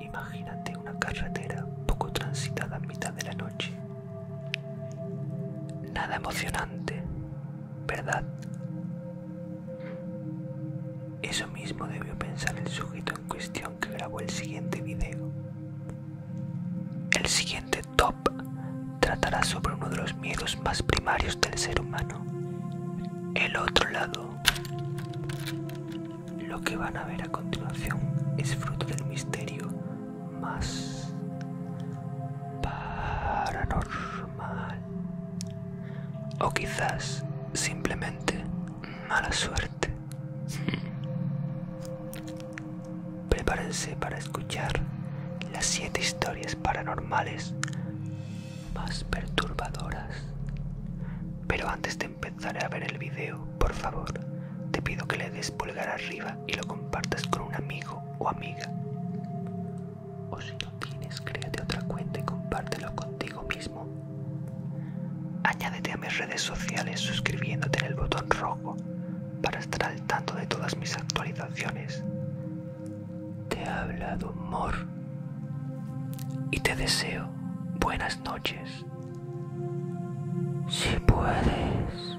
Imagínate una carretera poco transitada a mitad de la noche. Nada emocionante, ¿verdad? Eso mismo debió pensar el sujeto en cuestión que grabó el siguiente video. El siguiente top tratará sobre uno de los miedos más primarios del ser humano, el otro lado. Lo que van a ver a continuación es fruto del misterio más paranormal mal. O quizás simplemente mala suerte. Prepárense para escuchar las siete historias paranormales más perturbadoras. Pero antes de empezar a ver el video, por favor, te pido que le des pulgar arriba y lo compartas con un amigo o amiga. O si no tienes, créate otra cuenta y compártelo contigo mismo. Añádete a mis redes sociales suscribiéndote en el botón rojo para estar al tanto de todas mis actualizaciones. Te ha hablado Mor y te deseo buenas noches. Si puedes.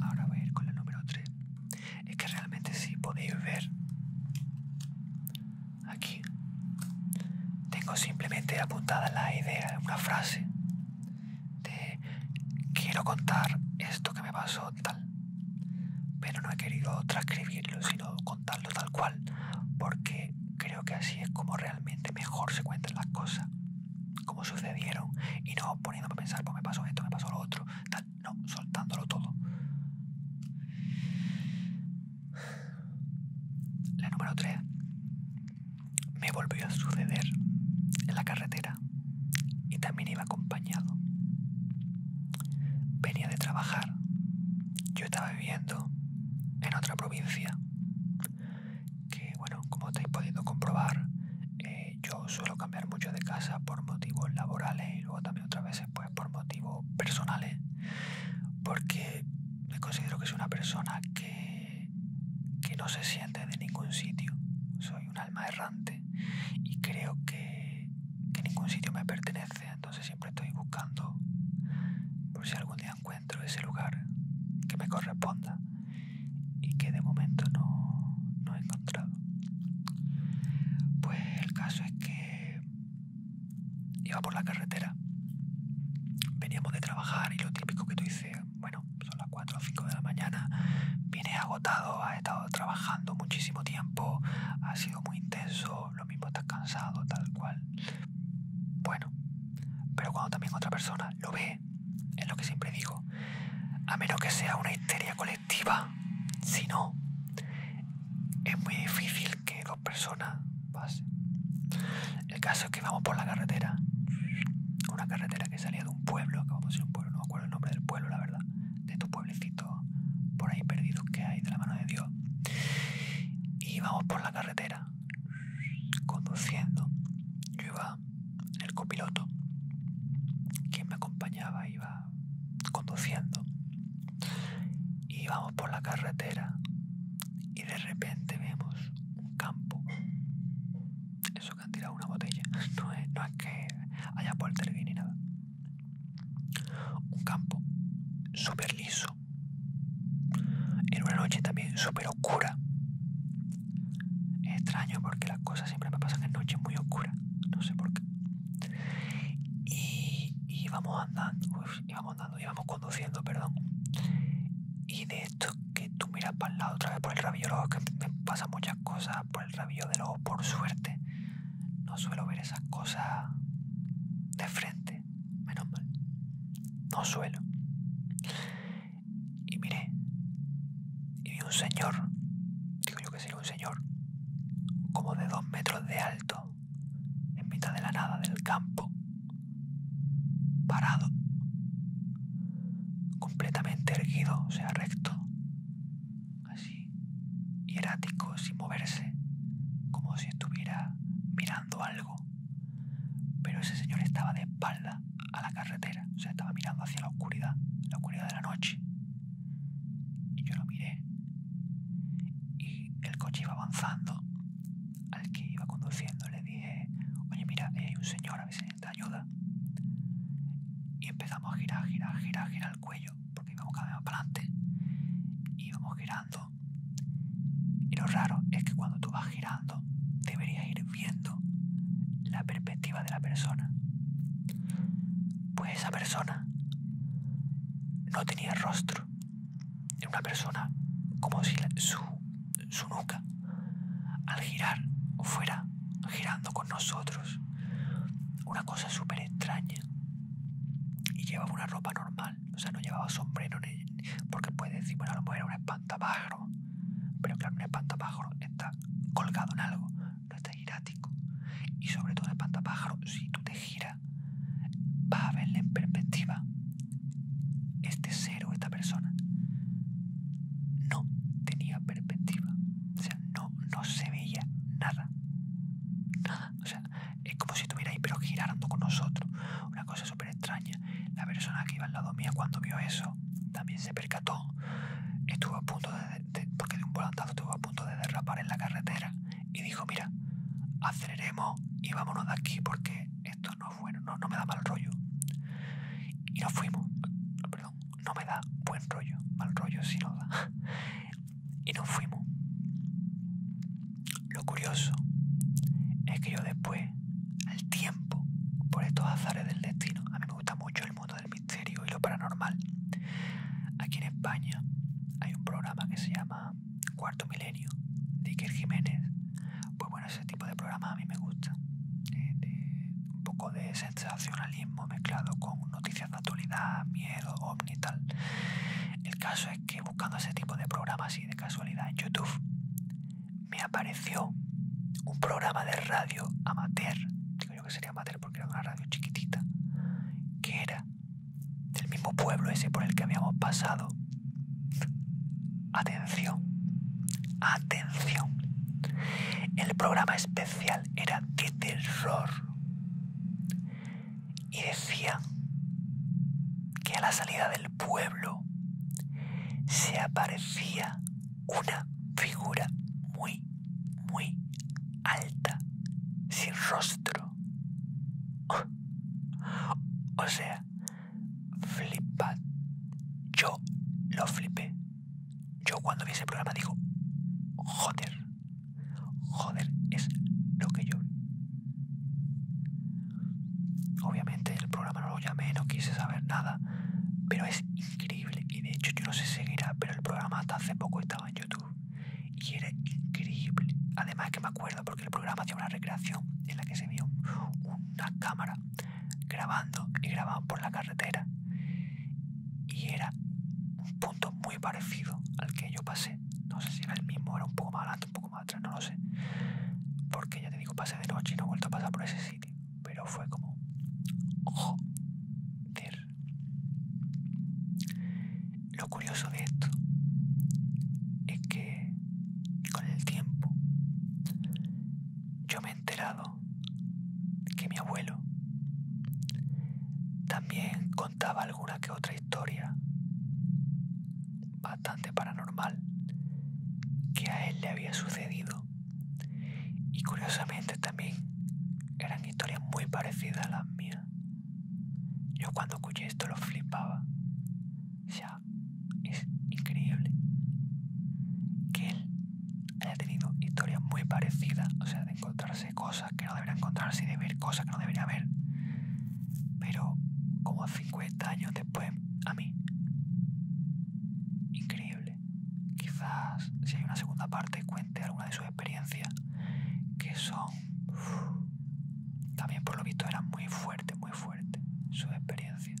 Ahora voy a ir con la número 3. Es que realmente si podéis ver aquí tengo simplemente apuntada la idea, una frase de quiero contar esto que me pasó tal. Pero no he querido transcribirlo, sino contarlo tal cual, porque creo que así es como realmente mejor se cuentan las cosas como sucedieron y no poniéndome a pensar, pues me pasó esto, me pasó lo otro, tal, no, soltándolo todo. La número tres me volvió a suceder en la carretera y también iba acompañado. Venía de trabajar, yo estaba viviendo en otra provincia, que bueno, como estáis pudiendo comprobar, eh, yo suelo cambiar mucho de casa por motivos laborales y luego también otras veces pues por motivos personales, porque me considero que soy una persona que, no se siente de ningún sitio, soy un alma errante y creo que ningún sitio me pertenece, entonces siempre estoy buscando por si algún día encuentro ese lugar que me corresponda y que de momento no, he encontrado. Pues el caso es que iba por la carretera, veníamos de trabajar y lo típico que tú dices, bueno, son las 4 o 5 de la mañana, viene agotado, ha estado trabajando muchísimo tiempo, ha sido muy intenso, lo mismo estás cansado, tal cual. Bueno, pero cuando también otra persona lo ve, es lo que siempre digo, a menos que sea una histeria colectiva, si no, es muy difícil que dos personas pasen. El caso es que vamos por la carretera, una carretera que salía de un pueblo, que vamos a un pueblo, no me acuerdo el nombre del pueblo, la verdad, de tu pueblecito por ahí perdidos que hay de la mano de Dios. Y vamos por la carretera, conduciendo. Yo iba el copiloto, quien me acompañaba iba conduciendo. Y íbamos por la carretera y de repente vemos un campo. Eso que han tirado una botella, no es, no es que haya poltergeist ni nada. Un campo súper liso. En una noche también súper oscura. Es extraño porque las cosas siempre me pasan en noches muy oscuras, no sé por qué. Y íbamos andando, y íbamos andando, íbamos conduciendo, perdón. Y de esto que tú miras para el lado otra vez por el rabillo de los que me pasan muchas cosas por el rabillo de los por suerte. No suelo ver esas cosas de frente, menos mal. No suelo y miré y vi un señor, digo yo que sería un señor, como de dos metros de alto, en mitad de la nada del campo, parado, completamente erguido, o sea, recto, así, hierático, sin moverse, como si estuviera mirando algo. Pero ese señor estaba de espalda a la carretera. O sea, estaba mirando hacia la oscuridad, la oscuridad de la noche. Y yo lo miré. Y el coche iba avanzando. Al que iba conduciendo le dije, oye, mira, hay un señor, a ver si te ayuda. Y empezamos a girar, girar, girar, girar el cuello, porque íbamos cada vez más para adelante. Íbamos girando. Y lo raro es que cuando tú vas girando, deberías ir viendo la perspectiva de la persona. Pues esa persona no tenía rostro. Era una persona como si su, nuca, al girar, fuera girando con nosotros. Una cosa súper extraña. Y llevaba una ropa normal, o sea, no llevaba sombrero, porque puede decir, bueno, no era una espantapájaro. Pero claro, un espantapájaro está colgado en algo, no está girático. Y sobre todo, el espantapájaro, si tú te giras, vas a verle en perspectiva este ser o esta persona. No tenía perspectiva, o sea, no, no se veía nada. Nada, o sea, es como si estuviera ahí pero girando con nosotros. Una cosa súper extraña. La persona que iba al lado mío, cuando vio eso también se percató. Estuvo a punto de, porque de un volantazo estuvo a punto de derrapar en la carretera y dijo, mira, aceleremos y vámonos de aquí porque esto no es bueno, no, me da mal rollo. Y nos fuimos. Perdón, no me da buen rollo, mal rollo sí no da. y nos fuimos. Lo curioso es que yo después al tiempo por estos azares del destino. A mí me gusta mucho el mundo del misterio y lo paranormal. Aquí en España hay un programa que se llama Cuarto Milenio de Iker Jiménez. Pues bueno, ese tipo de programa a mí me gusta. Eh, un poco de sensacionalismo mezclado con noticias de actualidad, miedo, ovni tal. El caso es que buscando ese tipo de programas y de casualidad en YouTube me apareció un programa de radio amateur, digo yo que sería amateur porque era una radio chiquitita, que era del mismo pueblo ese por el que habíamos pasado. Atención, atención. El programa especial era de terror. Y decía que a la salida del pueblo se aparecía una figura muy, muy alta, sin rostro. O sea, flipad. Yo lo flipé. Yo cuando vi ese programa digo, joder, joder es lo que yo Obviamente el programa no lo llamé, no quise saber nada pero es increíble y de hecho yo no sé si seguirá, pero el programa hasta hace poco estaba en YouTube y era increíble. Además que me acuerdo porque el programa hacía una recreación en la que se vio una cámara grabando y grababan por la carretera y era un punto muy parecido al que yo pasé. No sé si era el mismo, era un poco más adelante, un poco más atrás, no lo sé. Porque ya te digo, pasé de noche y no he vuelto a pasar por ese sitio pero fue como joder. Lo curioso de esto es que con el tiempo yo me he enterado que mi abuelo también contaba alguna que otra historia bastante paranormal que a él le había sucedido y curiosamente también eran historias muy parecidas a las mías. Yo cuando escuché esto lo flipaba. O sea, es increíble que él haya tenido historias muy parecidas, o sea, de encontrarse cosas que no debería encontrarse y de ver cosas que no debería ver. Pero como 50 años después, a mí increíble. Quizás si hay una segunda parte cuente alguna de sus experiencias, que son... también por lo visto eran muy fuertes, muy fuertes sus experiencias.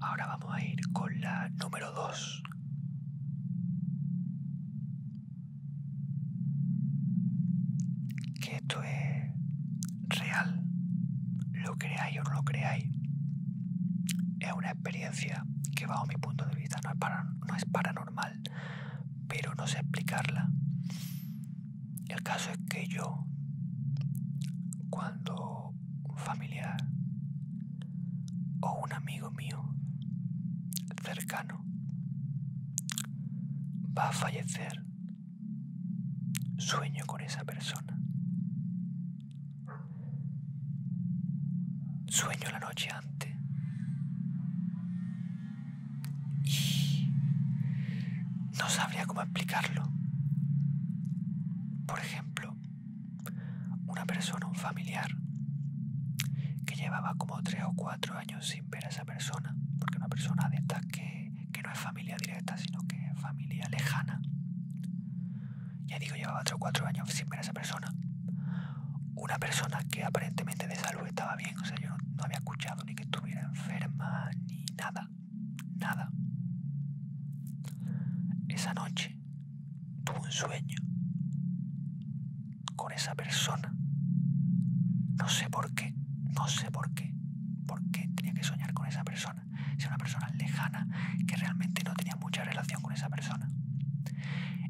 Ahora vamos a ir con la número 2 esto es real, lo creáis o no lo creáis, es una experiencia que bajo mi punto de vista no es, no es paranormal, pero no sé explicarla. El caso es que yo, cuando un familiar o un amigo mío cercano va a fallecer Sueño con esa persona. Sueño la noche antes. Y no sabría cómo explicarlo. Por ejemplo, una persona, un familiar, que llevaba como tres o cuatro años sin ver a esa persona, porque una persona de estas que, no es familia directa, sino que es familia lejana. Ya digo, llevaba 3 o 4 años sin ver a esa persona. Una persona que aparentemente de salud estaba bien, o sea, yo no había escuchado ni que estuviera enferma, ni nada, nada. Esa noche tuve un sueño con esa persona. No sé por qué, no sé por qué. ¿Por qué tenía que soñar con esa persona? Si una persona lejana que realmente no tenía mucha relación con esa persona.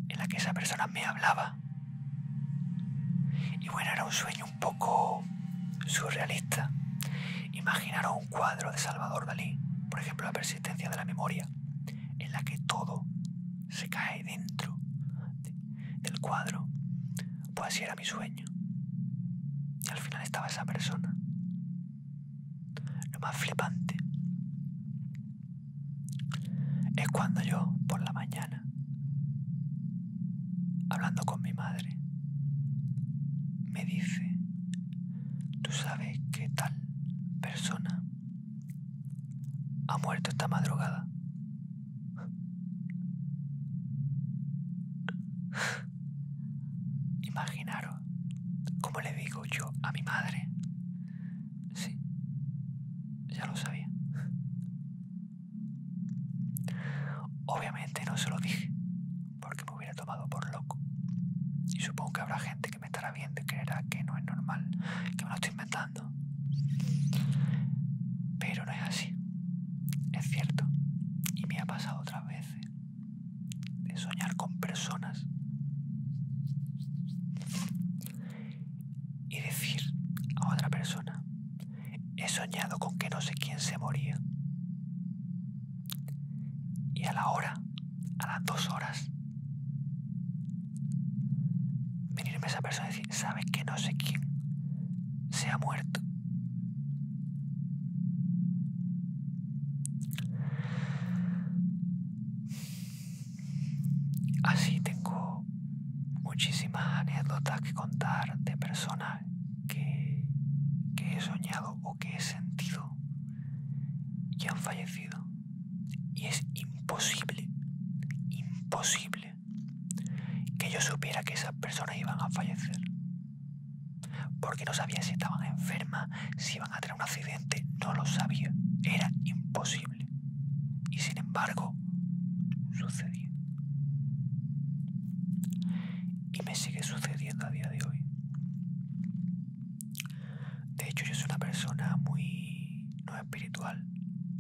En la que esa persona me hablaba. Y bueno, era un sueño un poco surrealista. Imaginaros un cuadro de Salvador Dalí, por ejemplo, La persistencia de la memoria, en la que todo se cae dentro del cuadro. Pues así era mi sueño. Y al final estaba esa persona. Lo más flipante es cuando yo, por la mañana, hablando con mi madre, me dice, tú sabes que tal persona ha muerto esta madrugada Imaginaros cómo le digo yo a mi madre. Sí, ya lo sabía. Obviamente no se lo dije, porque me hubiera tomado por loco. Y supongo que habrá gente que me estará viendo y creerá que no es normal, que me lo estoy inventando. Pero no es así. Es cierto, y me ha pasado otra vez de soñar con personas y decir a otra persona, he soñado con que no sé quién se moría. Y a la hora, a las dos horas, venirme esa persona Sabes que no sé quién se ha muerto. Así tengo muchísimas anécdotas que contar de personas que he soñado o que he sentido y han fallecido. Y es imposible, imposible que yo supiera que esas personas iban a fallecer. Porque no sabía si estaban enfermas, si iban a tener un accidente, no lo sabía. Era imposible. Y sin embargo, sucedía. Y me sigue sucediendo a día de hoy. De hecho, yo soy una persona muy no espiritual,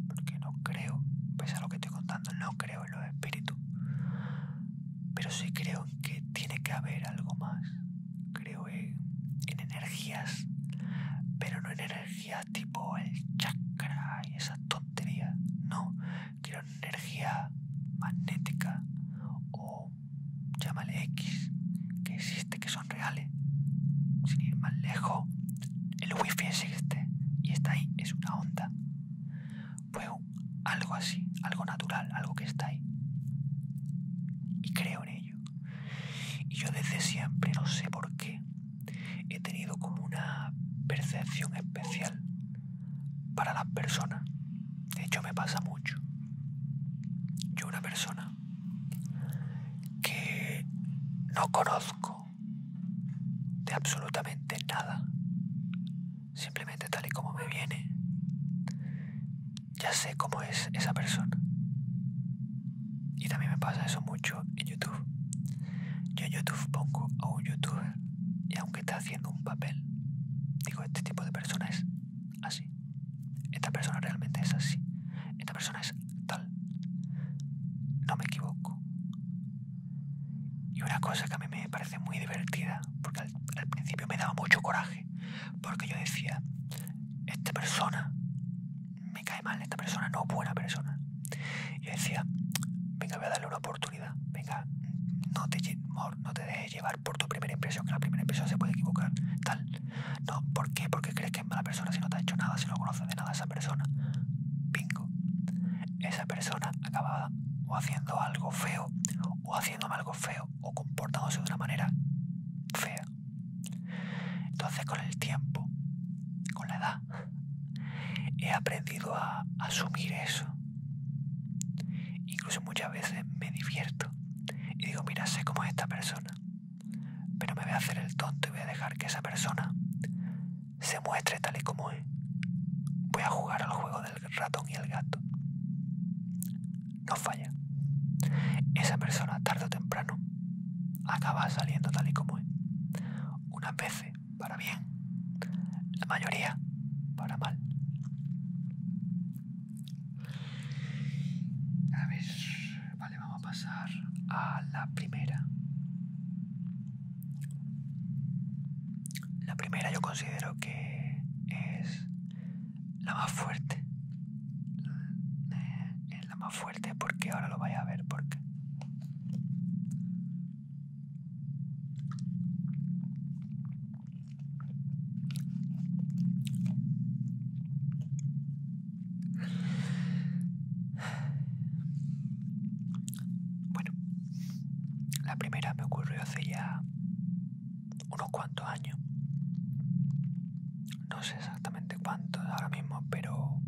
porque no creo, pese a lo que estoy contando, no creo en los espíritus, pero sí creo en que tiene que haber algo más. Creo en, energías, pero no en energía tipo el chakra y esa tontería, No, quiero energía magnética o llámale X, que existe, que son reales. Sin ir más lejos, el wifi existe y está ahí, es una onda. Fue algo así, algo natural, algo que está ahí. Y creo en ello. Y yo desde siempre, no sé por qué, he tenido como una percepción especial para las personas. De hecho, me pasa mucho. Yo una persona que no conozco de absolutamente nada. Simplemente tal y como me viene, ya sé cómo es esa persona. Y también me pasa eso mucho en YouTube. Yo en YouTube pongo a un youtuber y aunque está haciendo un papel, digo, este tipo de persona es así. Esta persona realmente es así. Esta persona es tal. No me equivoco. Y una cosa que a mí me parece muy divertida, porque al, principio me daba mucho coraje, porque yo decía, esta persona me cae mal, esta persona no es buena persona. Y yo decía, venga, voy a darle una oportunidad, venga, no te, no te dejes llevar por tu primera impresión, que la primera impresión se puede equivocar, tal. No, ¿por qué? Porque crees que es mala persona si no te ha hecho nada, si no conoces de nada esa persona. Bingo esa persona acababa o haciendo algo feo, o haciéndome algo feo, o comportándose de una manera fea. Entonces con el tiempo, con la edad, he aprendido a asumir eso. Incluso muchas veces me divierto y digo, mira, sé cómo es esta persona, pero me voy a hacer el tonto y voy a dejar que esa persona se muestre tal y como es. Voy a jugar al juego del ratón y el gato. No falla. Esa persona tarde o temprano acaba saliendo tal y como es. Unas veces para bien, la mayoría para mal. A ver, vale, vamos a pasar a la primera. La primera yo considero que es la más fuerte. Eh, es la más fuerte porque ahora lo vaya a ver porque. Bueno, la primera me ocurrió hace ya unos cuantos años. No sé exactamente cuántos ahora mismo, pero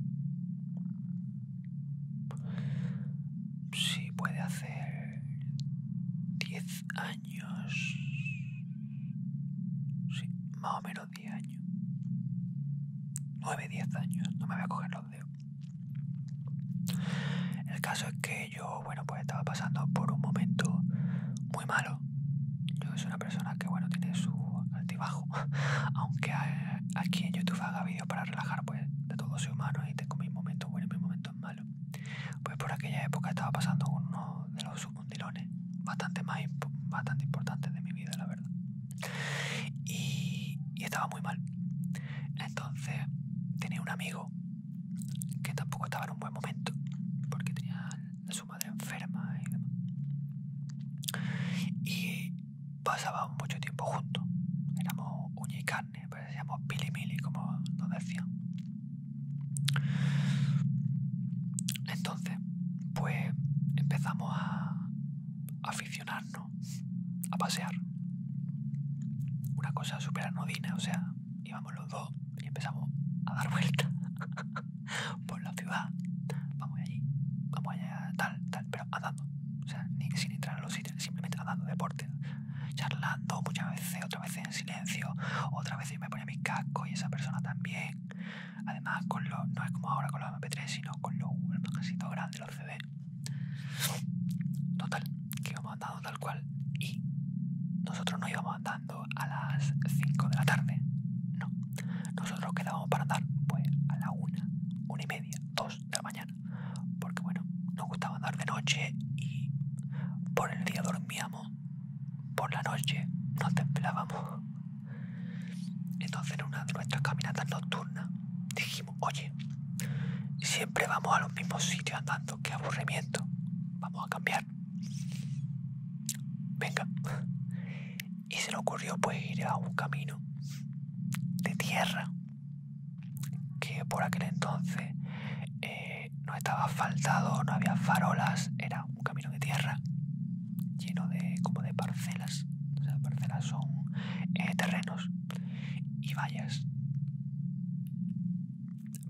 si puede hacer 10 años. Sí, más o menos 10 años. 9, 10 años. No me voy a coger los el caso es que yo, bueno, pues estaba pasando por un momento muy malo. Yo soy una persona que, bueno, tiene su altibajo. Aunque aquí en YouTube haga vídeos para relajar, pues, de todo soy humano y tengo mis momentos buenos y mis momentos malos. Pues por aquella época estaba pasando uno de los submundilones bastante bastante importantes de mi vida, la verdad y, estaba muy mal. Entonces tenía un amigo que tampoco estaba en un buen momento porque tenía a su madre enferma y demás. Y pasábamos mucho tiempo juntos. Éramos uña y carne, parecíamos pili mili, como nos decían. Entonces, pues empezamos a aficionar ¿no? A pasear. Una cosa súper anodina, o sea, íbamos los dos y empezamos a dar vuelta por la ciudad. Vamos allí, vamos allá, tal, tal, pero andando. O sea, ni, sin entrar a los sitios, simplemente andando, deporte. Charlando muchas veces, otra vez en silencio, otras veces me ponía mi casco y esa persona también. Además, con los, no es como ahora con los MP3, sino con los, el grande, los CD Total, que íbamos andando tal cual. Y nosotros no íbamos andando a las 5 de la tarde. No. Nosotros quedábamos para andar pues a la 1, 1 y media, 2 de la mañana. Porque bueno, nos gustaba andar de noche y por el día dormíamos. Por la noche no templábamos. Entonces en una de nuestras caminatas nocturnas dijimos, oye, siempre vamos a los mismos sitios andando, qué aburrimiento, vamos a cambiar. Venga. Y se le ocurrió pues ir a un camino de tierra que por aquel entonces eh, no estaba asfaltado, no había farolas, era un camino de tierra lleno de como de parcelas las son eh, terrenos y vallas.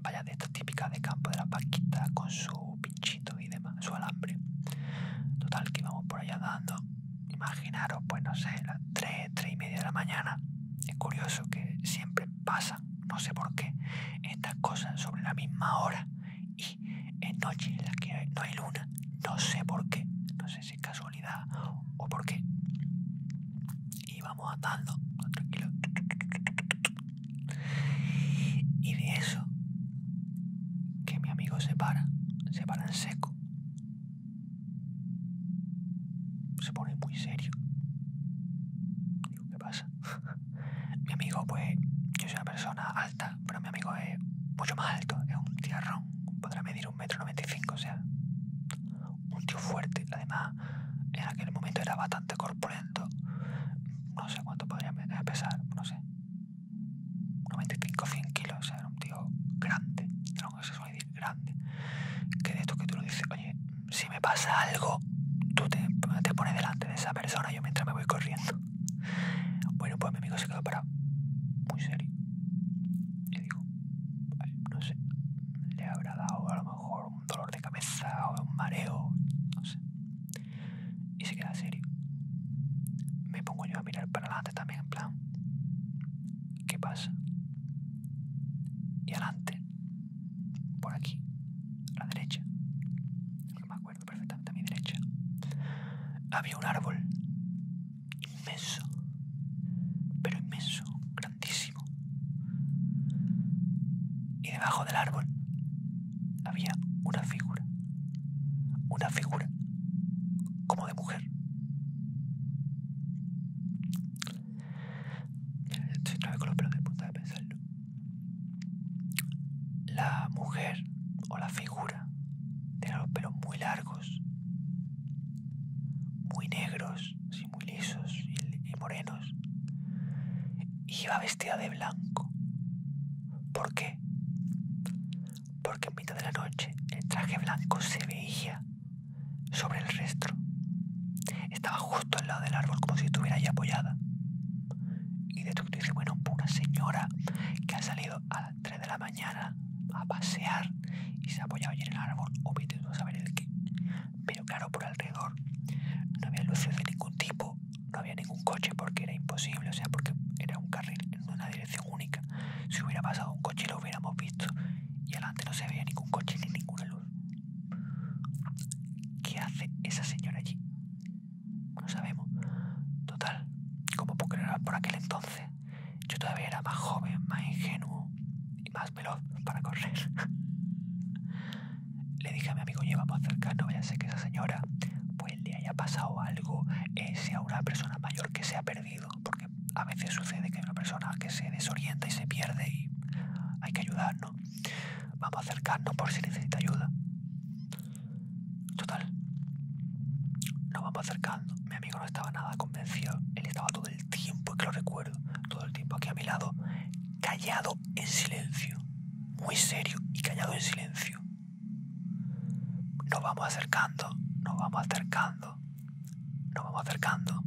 Vallas de estas típicas de campo de la paquita con su pinchito y demás, su alambre. Total, que vamos por allá dando. Imaginaros, pues no sé, las 3, 3 y media de la mañana. Es curioso que siempre pasa, no sé por qué, estas cosas sobre la misma hora y en noche en la que no hay luna. No sé por qué, no sin casualidad o por qué. Y vamos andando, tranquilo. Y de eso, que mi amigo se para, se para en seco. Se pone muy serio. Digo, ¿qué pasa? mi amigo, pues, yo soy una persona alta, pero mi amigo es mucho más alto, es un tierrón, podrá medir un metro noventa y cinco, o sea, un tío fuerte, además en aquel momento era bastante corpulento, no sé cuánto podría eh, pesar, no sé, 95 100 kilos, o sea, era un tío grande, era se decir grande, que de esto que tú lo dices, oye, si me pasa algo, tú te, te pones delante de esa persona, yo mientras me voy corriendo. Bueno, pues mi amigo se quedó parado, muy serio y digo, no sé, le habrá dado a lo mejor un dolor de cabeza o un mareo, no sé. Y se queda serio. Me pongo yo a mirar para adelante también, en plan, ¿qué pasa? Y adelante, por aquí, a la derecha, no me acuerdo perfectamente a mi derecha, había un árbol inmenso, pero inmenso, grandísimo. Y debajo del árbol había una figura, una figura como de mujer. Estoy otra con los pelos de punta de pensarlo. La mujer o la figura tenía los pelos muy largos muy negros, y muy lisos y, morenos. Y iba vestida de blanco. ¿Por qué? Porque en mitad de la noche el traje blanco se veía sobre el resto. Estaba justo al lado del árbol como si estuviera ahí apoyada. Y de tú dice, bueno, una señora que ha salido a 3 de la mañana a pasear y se ha apoyado allí en el árbol, obviamente no saber el qué. Pero claro, por alrededor no había luces de ningún tipo, no había ningún coche porque era imposible, o sea, porque era un carril en una dirección única. Si hubiera pasado un coche lo hubiéramos visto y adelante no se veía ningún coche ni ninguna luz. ¿Qué hace esa señora allí? No sabemos. Total, como puedo por aquel entonces, yo todavía era más joven, más ingenuo y más veloz para correr. Le dije a mi amigo, llevamos vaya a ser que esa señora pues le haya pasado algo, eh, sea una persona mayor que se ha perdido, porque a veces sucede que hay una persona que se desorienta y se pierde y hay que ayudarnos. Vamos a acercarnos por si necesita ayuda. Total. Nos vamos acercando. Mi amigo no estaba nada convencido. Él estaba todo el tiempo, que lo recuerdo, todo el tiempo aquí a mi lado, callado en silencio. Muy serio y callado en silencio. Nos vamos acercando, nos vamos acercando, nos vamos acercando.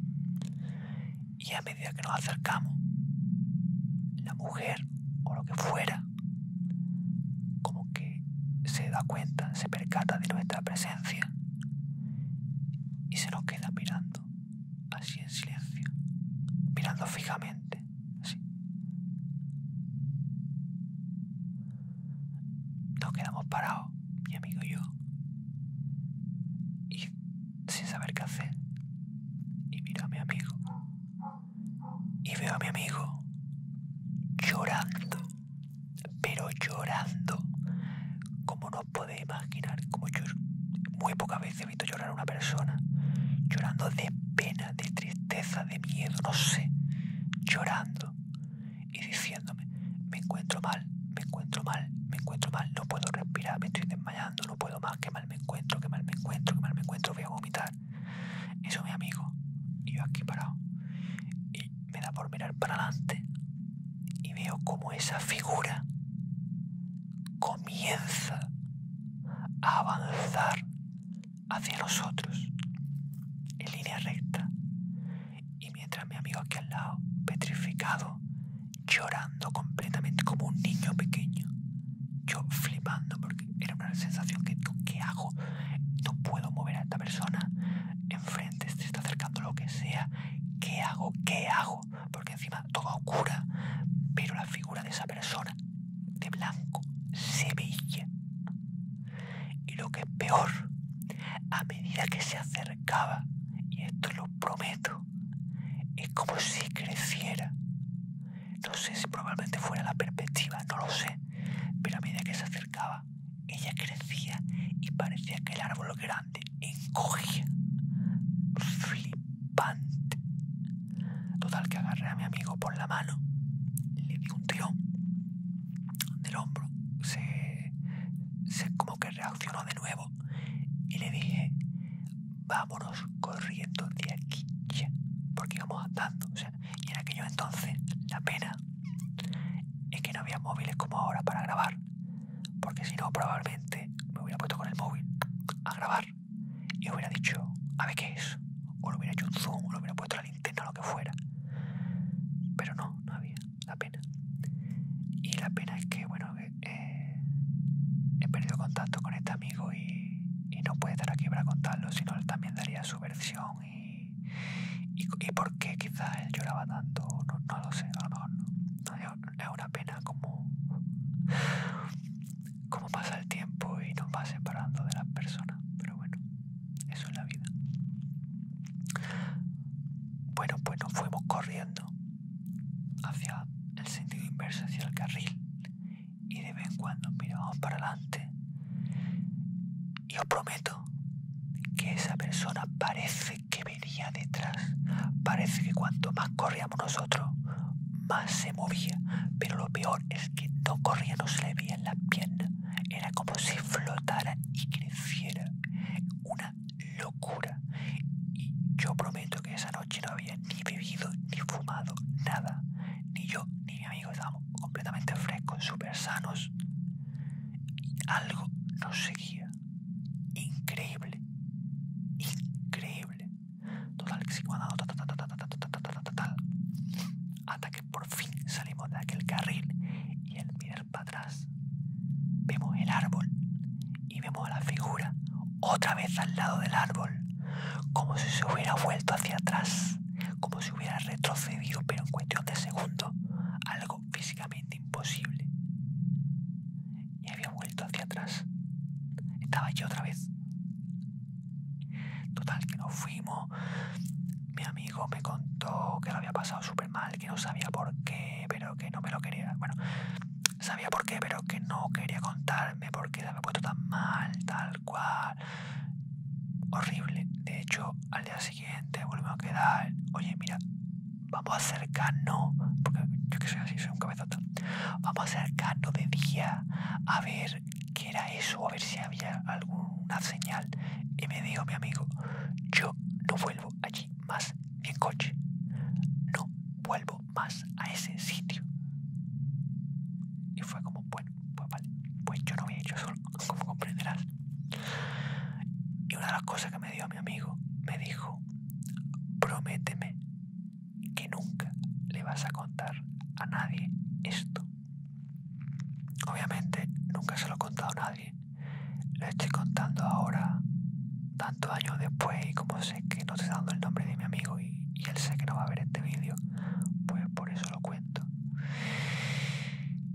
Y a medida que nos acercamos, la mujer o lo que fuera como que se da cuenta, se percata de nuestra presencia y se nos queda mirando, así en silencio, mirando fijamente, así. Nos quedamos parados, mi amigo y yo, y sin saber qué hacer. Y miro a mi amigo. Y veo a mi amigo llorando pero llorando, como no os podéis imaginar, como yo muy pocas veces he visto llorar a una persona, llorando de pena, de tristeza, de miedo, no sé, llorando y diciéndome, me encuentro mal, me encuentro mal, me encuentro mal, no puedo respirar, me estoy desmayando, no puedo más, que mal me encuentro, que mal me encuentro, que mal me encuentro, voy a vomitar. Eso mi amigo, y yo aquí parado me da por mirar para adelante y veo como esa figura comienza a avanzar hacia nosotros en línea recta. Y mientras mi amigo aquí al lado, petrificado, llorando completamente como un niño pequeño, yo flipando porque era una sensación que tú, ¿qué hago? No puedo mover a esta persona. Enfrente se este está acercando lo que sea. ¿Qué hago? ¿Qué hago? Porque encima todo oscura. Pero la figura de esa persona, de blanco, se veía. Y lo que es peor, a medida que se acercaba, y esto lo prometo, es como si creciera. No sé si probablemente fuera la perspectiva, no lo sé. Pero a medida que se acercaba, ella crecía y parecía que el árbol grande encogía. Flipante. Total que agarré a mi amigo por la mano, le di un tirón del hombro, se, se como que reaccionó de nuevo y le dije, vámonos corriendo de aquí ya, porque íbamos andando. y en aquello entonces la pena es que no había móviles como ahora para grabar, porque si no probablemente me hubiera puesto con el móvil a grabar y hubiera dicho, a ver qué es, o lo hubiera hecho un zoom, o lo hubiera puesto la linterna, lo que fuera. Pero no, no había la pena. Y la pena es que, bueno, eh, eh, he perdido contacto con este amigo y, no puede estar aquí para contarlo, sino él también daría su versión ¿Y, ¿Y por qué quizás él lloraba tanto? No, no lo sé, a lo Es una pena como, como pasa el tiempo y nos va separando de las personas. Pero bueno, eso es la vida. Bueno, pues nos fuimos corriendo hacia el sentido inverso, hacia el carril. Y de vez en cuando mirábamos para adelante yo prometo que esa persona parece que venía detrás. Parece que cuanto más corríamos nosotros, más se movía. Pero lo peor es que no corría, no se le veía en las piernas. Era como si flotara y creciera. Una locura. Y yo prometo que esa noche no había ni bebido ni fumado nada. Ni yo ni estábamos completamente frescos, super sanos. Y algo nos seguía. Increíble. Increíble. Total, que Hasta que por fin salimos de aquel carril y al mirar para atrás vemos el árbol y vemos a la figura otra vez al lado del árbol, como si se hubiera vuelto hacia atrás, como hubiera retrocedido, pero en cuestión de segundo, algo físicamente imposible. Y había vuelto hacia atrás. Estaba yo otra vez. Total, que nos fuimos. Mi amigo me contó que lo había pasado súper mal, que no sabía por qué, pero que no me lo quería. Bueno, sabía por qué, pero que no quería contarme porque lo había puesto tan mal, tal cual horrible. De hecho, al día siguiente volvimos a quedar. Oye, mira, vamos a acercarnos. Porque yo que soy así, soy un cabezota. Vamos a acercarnos de día a ver qué era eso, a ver si había alguna señal. Y me dijo mi amigo, yo no vuelvo allí más ni en coche. No vuelvo más a ese sitio. Y fue como, bueno, pues, pues yo no había hecho solo, como comprenderás. Y una de las cosas que me dio mi amigo, me dijo, prométeme que nunca le vas a contar a nadie esto. Obviamente nunca se lo he contado a nadie. Lo estoy contando ahora, tanto años después, y como sé que no está dando el nombre de mi amigo y, él sé que no va a ver este vídeo, pues por eso lo cuento.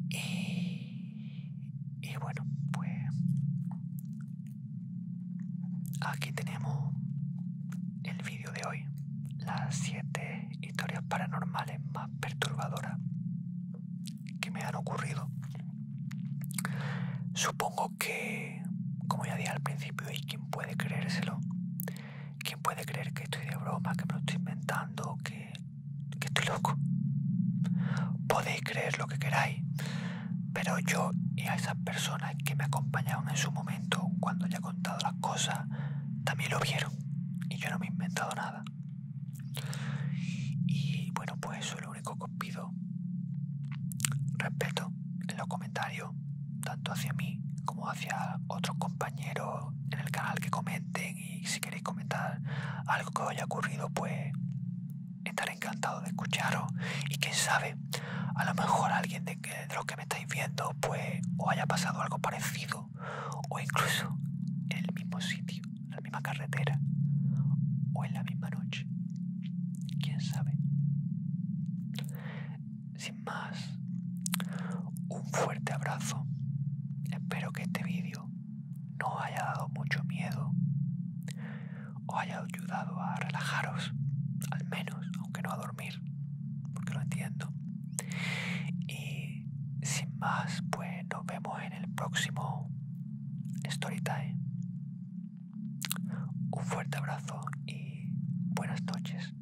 Y, y bueno, pues aquí tenemos el vídeo de hoy, las 7 historias paranormales más perturbadoras que me han ocurrido. Supongo que, como ya dije al principio, y quien puede creérselo, ¿Quién puede creer que estoy de broma, que me lo estoy inventando, que, estoy loco? Podéis creer lo que queráis, pero yo y a esas personas que me acompañaron en su momento, cuando ya he contado las cosas, también lo vieron y yo no me he inventado nada. Y bueno, pues eso es lo único que os pido. Respeto en los comentarios, tanto hacia mí como hacia otros compañeros en el canal que comentan y si queréis comentar algo que os haya ocurrido, pues estaré encantado de escucharos y quién sabe, a lo mejor alguien de, que, de los que me estáis viendo, pues o haya pasado algo parecido o incluso en el mismo sitio, en la misma carretera o en la misma noche. ¿Quién sabe? sin más, un fuerte abrazo. Espero que este vídeo no haya dado mucho miedo, o haya ayudado a relajaros, al menos, aunque no a dormir, porque lo entiendo. Y sin más, pues nos vemos en el próximo Storytime. Un fuerte abrazo y buenas noches.